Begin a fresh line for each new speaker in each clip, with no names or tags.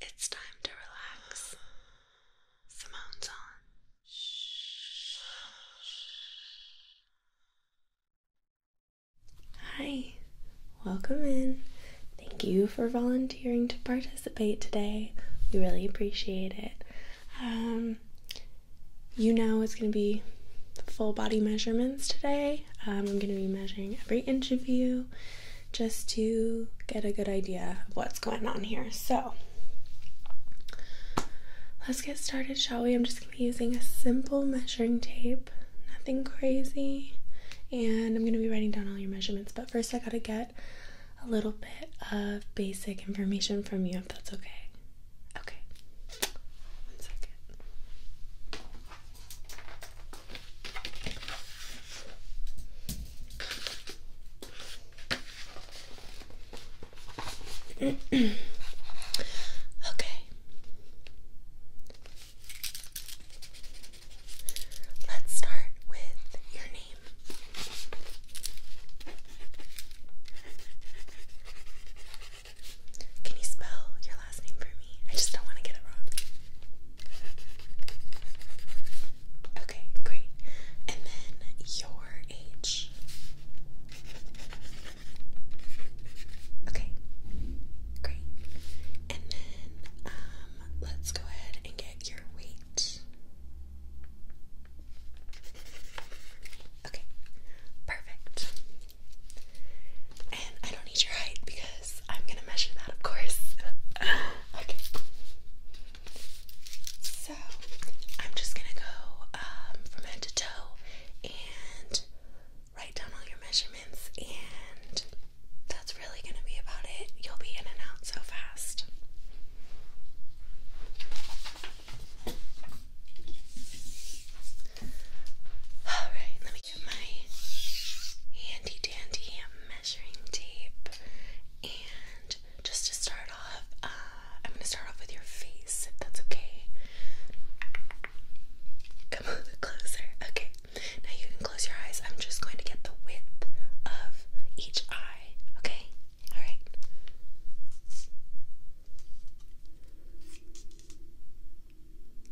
It's time to relax. Simone's on. Hi, welcome in. Thank you for volunteering to participate today. We really appreciate it. Um, you know, it's going to be full body measurements today. Um, I'm going to be measuring every inch of you just to get a good idea of what's going on here. So let's get started, shall we? I'm just going to be using a simple measuring tape, nothing crazy. And I'm going to be writing down all your measurements, but first I got to get a little bit of basic information from you if that's okay. Okay. One second okay. Let's start with your name. Can you spell your last name for me? I just don't want to get it wrong. Okay, great. And then your age. Okay, great. And then um, let's go ahead and get your weight. Okay, perfect. And I don't need your height because I'm gonna measure that, of course. okay. So I'm just gonna go um, from head to toe and write down all your measurements, and that's really gonna be about it. You'll be in and out so fast. Alright, let me my handy dandy measuring tape. And just to start off, uh, I'm going to start off with your face, if that's okay. Come closer. Okay, now you can close your eyes. I'm just going to get the width of each eye, okay? Alright.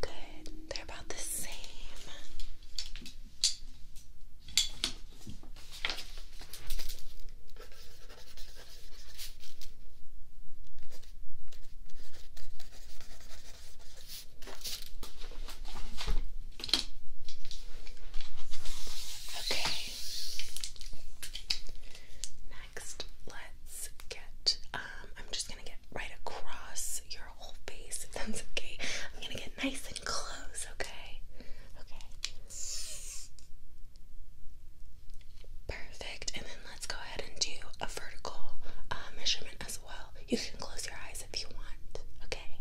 Good. They're about the same. Okay. Next, let's get um, I'm just going to get right across your whole face, if okay. I'm gonna get nice and close, okay? Okay. Perfect. And then let's go ahead and do a vertical uh, measurement as well. You can close your eyes if you want, okay?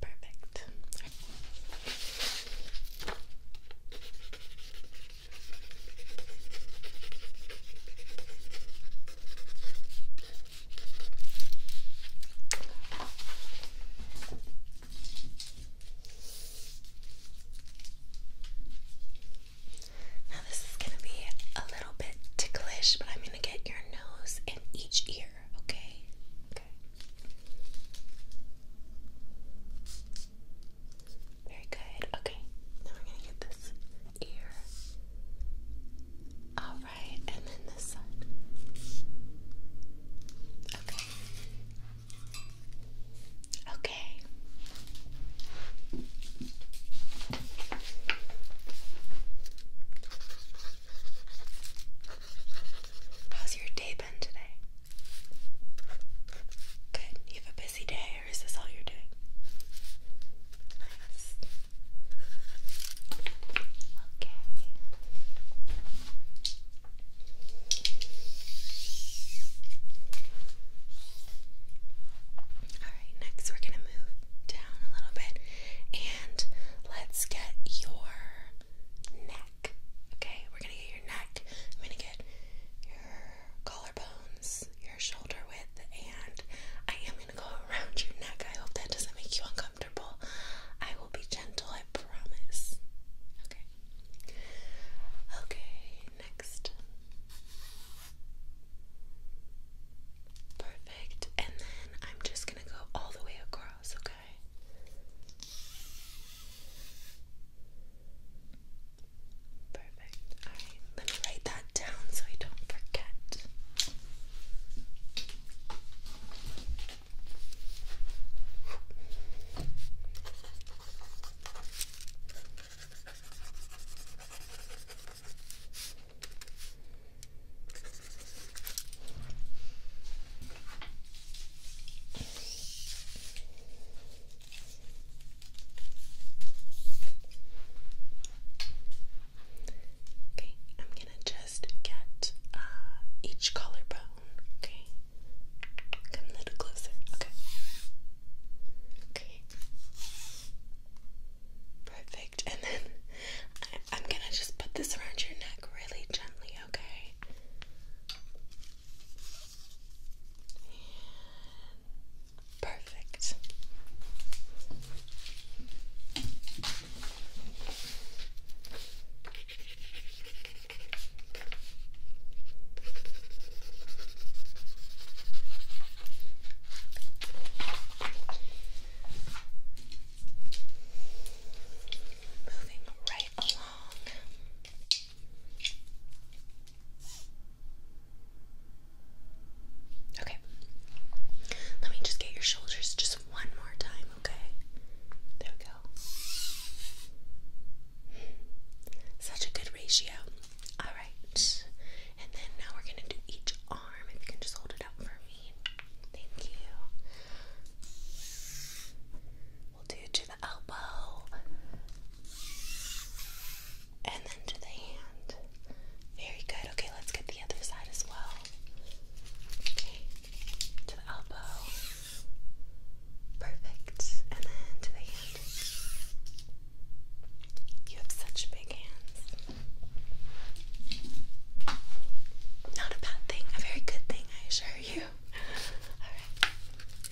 Perfect. Now, this is going to be a little bit ticklish, but I'm going to get your nose and each ear, okay? Very good. Okay. Now we're gonna get this ear. Alright, and then this side. Okay. Okay. How's your day been today? Good. You have a busy day, or is this all you're doing? Okay. Alright, next we're gonna move down a little bit and let's get your neck. Okay, we're gonna get your neck. I'm gonna get your collar collarbones, your shoulder width, and I am going to go around your neck. I hope that doesn't make you uncomfortable. I will be gentle, I promise. Okay. Okay, next. Perfect. And then I'm just going to go all the way across, okay? Perfect. Alright, let me write that down so I don't forget. Okay, I'm gonna just get uh, each collarbone. Okay, come a little closer. Okay, okay, perfect. And then I'm gonna just put this around your neck really gently. Okay, Perfect. Moving right along. Okay. Let me just get your shoulders just one more time, okay? There we go. Such a good ratio. Alright. And then now we're going to do each arm. If you can just hold it up for me. Thank you do to the elbow and then to the hand. Very good. Okay, let's get the other side as well. Okay, to the elbow. Perfect. And then to the hand. You have such big hands. Not a bad thing, a very good thing, I assure you. Alright.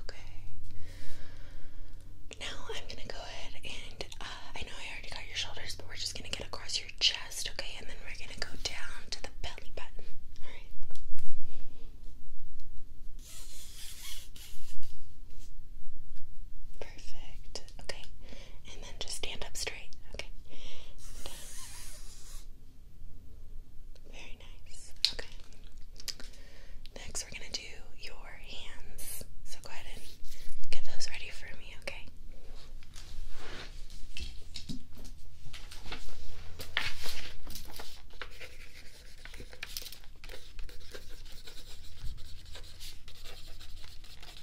Okay. Now I'm gonna go ahead and uh, I know I already got your shoulders, but we're just gonna get across your chest, okay? And then we're gonna go down to the belly button. All right. Perfect okay? And then just stand up straight, okay? very nice, okay. Next, we're gonna do your hands. So go ahead and get those ready for me, Okay, Okay,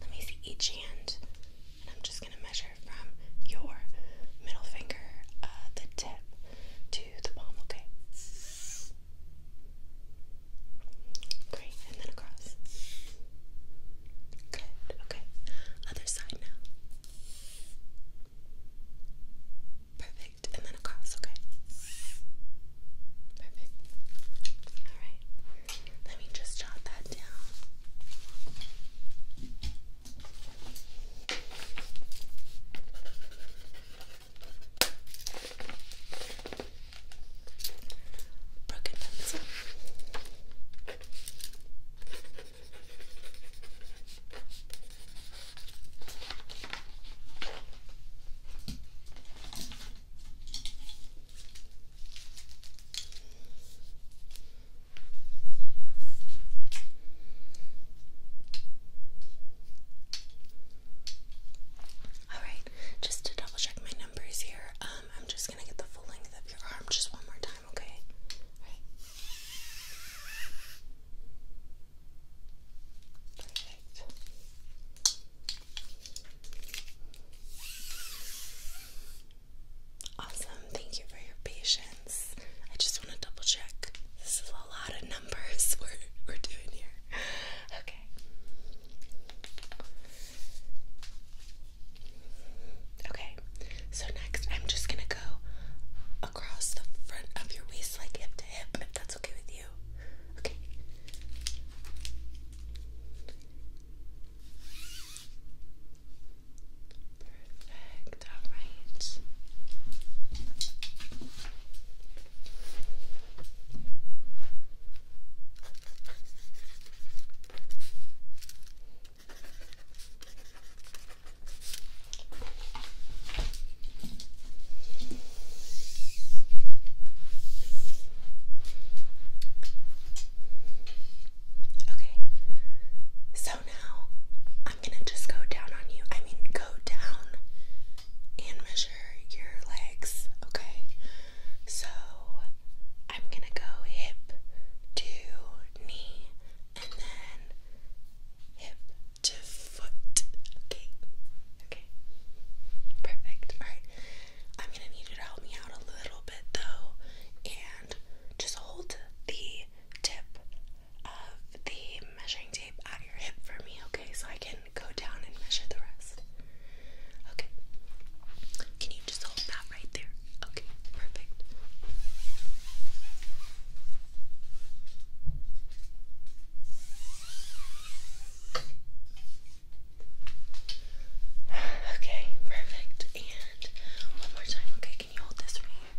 let me see each hand, and I'm just going to measure from your middle finger, uh, the tip, to the palm, okay? Great, and then across. Good. Okay. Other side now. Perfect. And then across, okay? Perfect. Alright. Let me just jot that down broken pencil. All right, just to double check my numbers here, um, I'm just just gonna get the full length of your arm just one more time, okay? Perfect. Awesome. Thank you for your patience. I just want to double check. This is a lot of numbers we're doing here. Okay. Okay, so next I'm just gonna go across the front of your waist, like hip to hip, if that's okay with you. Okay. Perfect, alright. Okay, so now I'm gonna just go down on you. I mean, go down and measure your legs, okay? So I'm gonna go hip to knee and then hip to foot. Okay. Okay. Perfect. Alright. I'm gonna need you to help me out a little bit though and just hold the tip of the measuring tape at your hip for me, okay? So I can go down and measure the rest. Okay. Can you just hold that right there? Okay, perfect. Okay, perfect. And one more time. Okay, can you hold this right here?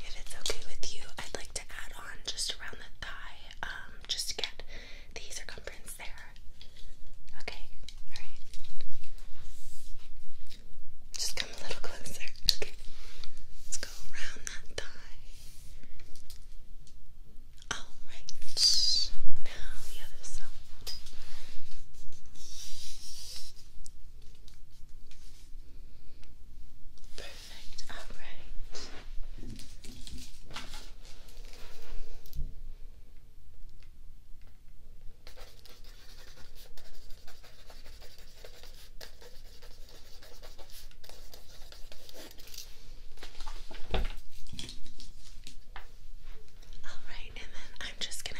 If it's okay with you, I'd like to add on just around the thigh, um, just to get the circumference there. Okay, alright. Just come a little closer. Let's go around that thigh. Alright. Now the other side. Perfect, alright. Alright, and then I'm just gonna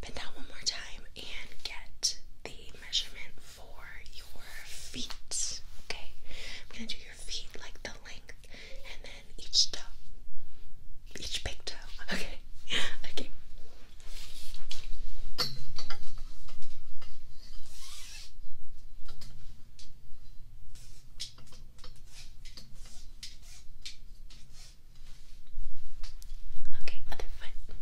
bend down one more time and get the measurement for your feet. Okay, I'm gonna do your feet like the length and then each toe, each big toe. Okay, okay. Okay, other foot.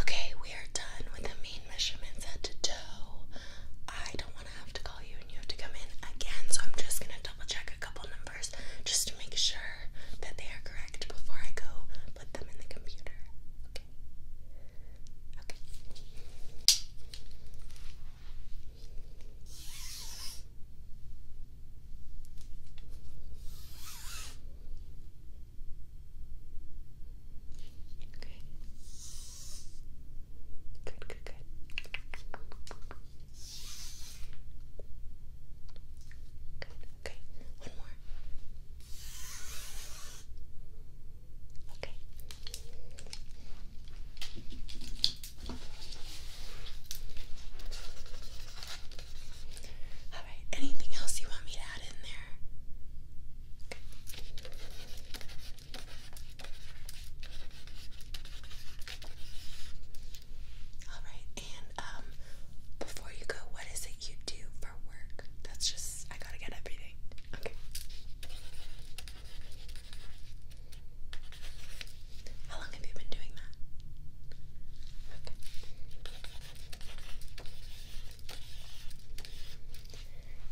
Okay, we are done with the mean taking measurements head to toe. I don't want to have to call you and you have to come in again, so I'm just going to double check a couple numbers just to make sure that they are correct before I go put them in the computer. Okay. Okay. Okay. Good, good, good. Good. Okay. One more. Okay. All right. Anything else you want me to add in there? All right, and um, before you go, what is it you do for work? That's just, I gotta get everything. Okay. How long have you been doing that?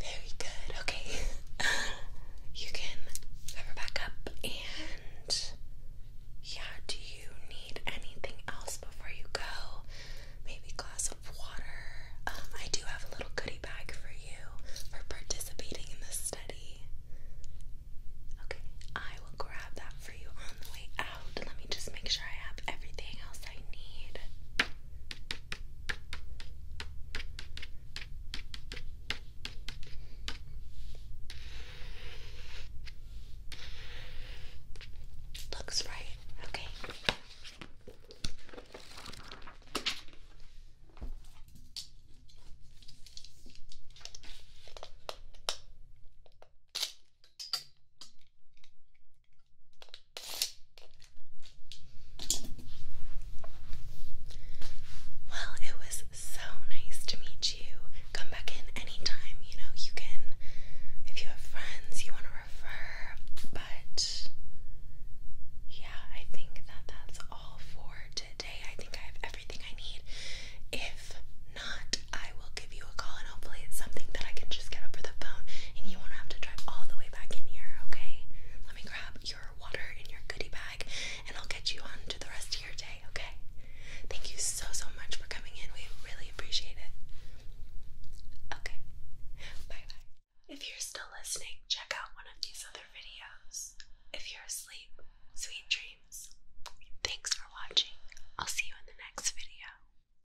Very good. Okay. you can cover back up and yeah, do you need anything else before you go? Maybe glass of water. Um, I do have a little goodie bag for you for participating in the study. Okay, I will grab that for you on the way out. Let me just make sure I have everything else I need. Looks right. Okay. Well, it was so nice to meet you. Come back in anytime, you know, you can, if you have friends you want to refer, but yeah, I think that that's all for today. I think I have everything I need. If not, I will give you a call and hopefully it's something that I can just get over the phone and you won't have to drive all the way back in here, okay? Let me grab your water in your goodie bag and I'll get you on to the rest of your day, okay? Thank you so, so much for coming in. We really appreciate it. Okay, bye bye. If you're still listening, check out one of these other videos. If you're asleep, sweet dreams. Thanks for watching. I'll see you in the next video.